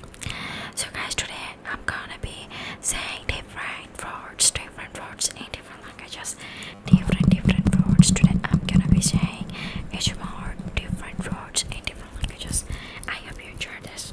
Um, so guys today I'm gonna be saying different words, different words in different languages, different different words today I'm gonna be saying ASMR different words in different languages. I hope you enjoy this.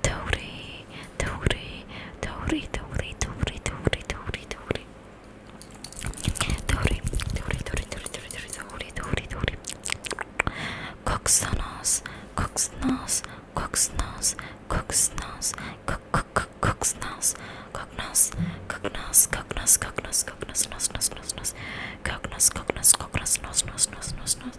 Tori, Tori, Tori, Tori, Tori, Tori, Tori, Tori. Tori, Tori, Tori, Tori, Tori, Tori, Tori, Tori. Cooks the nose, cooks nose, cooks nose, cooks nose, cook, cook, cook, cooks nose, cook nose, cook nose, cook nose, cook nose, cook nose, nose, nose, nose, nose, cook nose, cook nose, cook nose, nose, nose, nose, nose.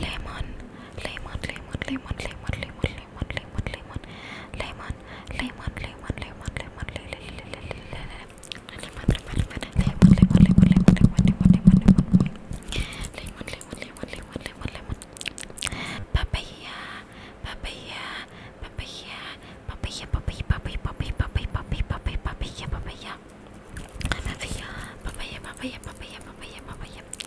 lemon lemon lemon lemon lemon lemon lemon lemon lemon lemon lemon lemon lemon lemon papaya papaya papaya papaya papaya papaya papaya papaya papaya papaya papaya papaya papaya papaya papaya papaya papaya papaya papaya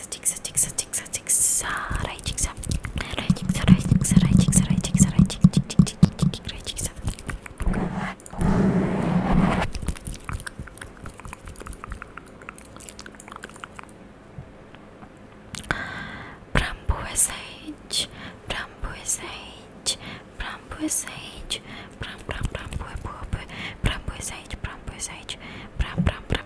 Jigsaw, jigsaw, jigsaw, jigsaw, jigsaw, right jigsaw, right jigsaw, right jigsaw, right jigsaw, right jigsaw, right jigsaw, right jigsaw. Bramboa sage, bramboa sage, bramboa sage, bram bram bramboa bramboa sage, bramboa sage, bram bram bram.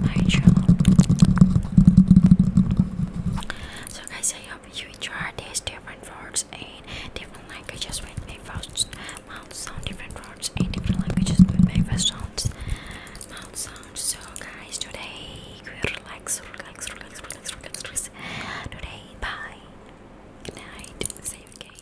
my channel. So guys, I hope you enjoy these different words in different languages with my first mouth sound, different words in different languages with my first sounds, mouth sound. So guys, today we relax, relax, relax, relax, relax, relax. Today, bye. Good night. See you again.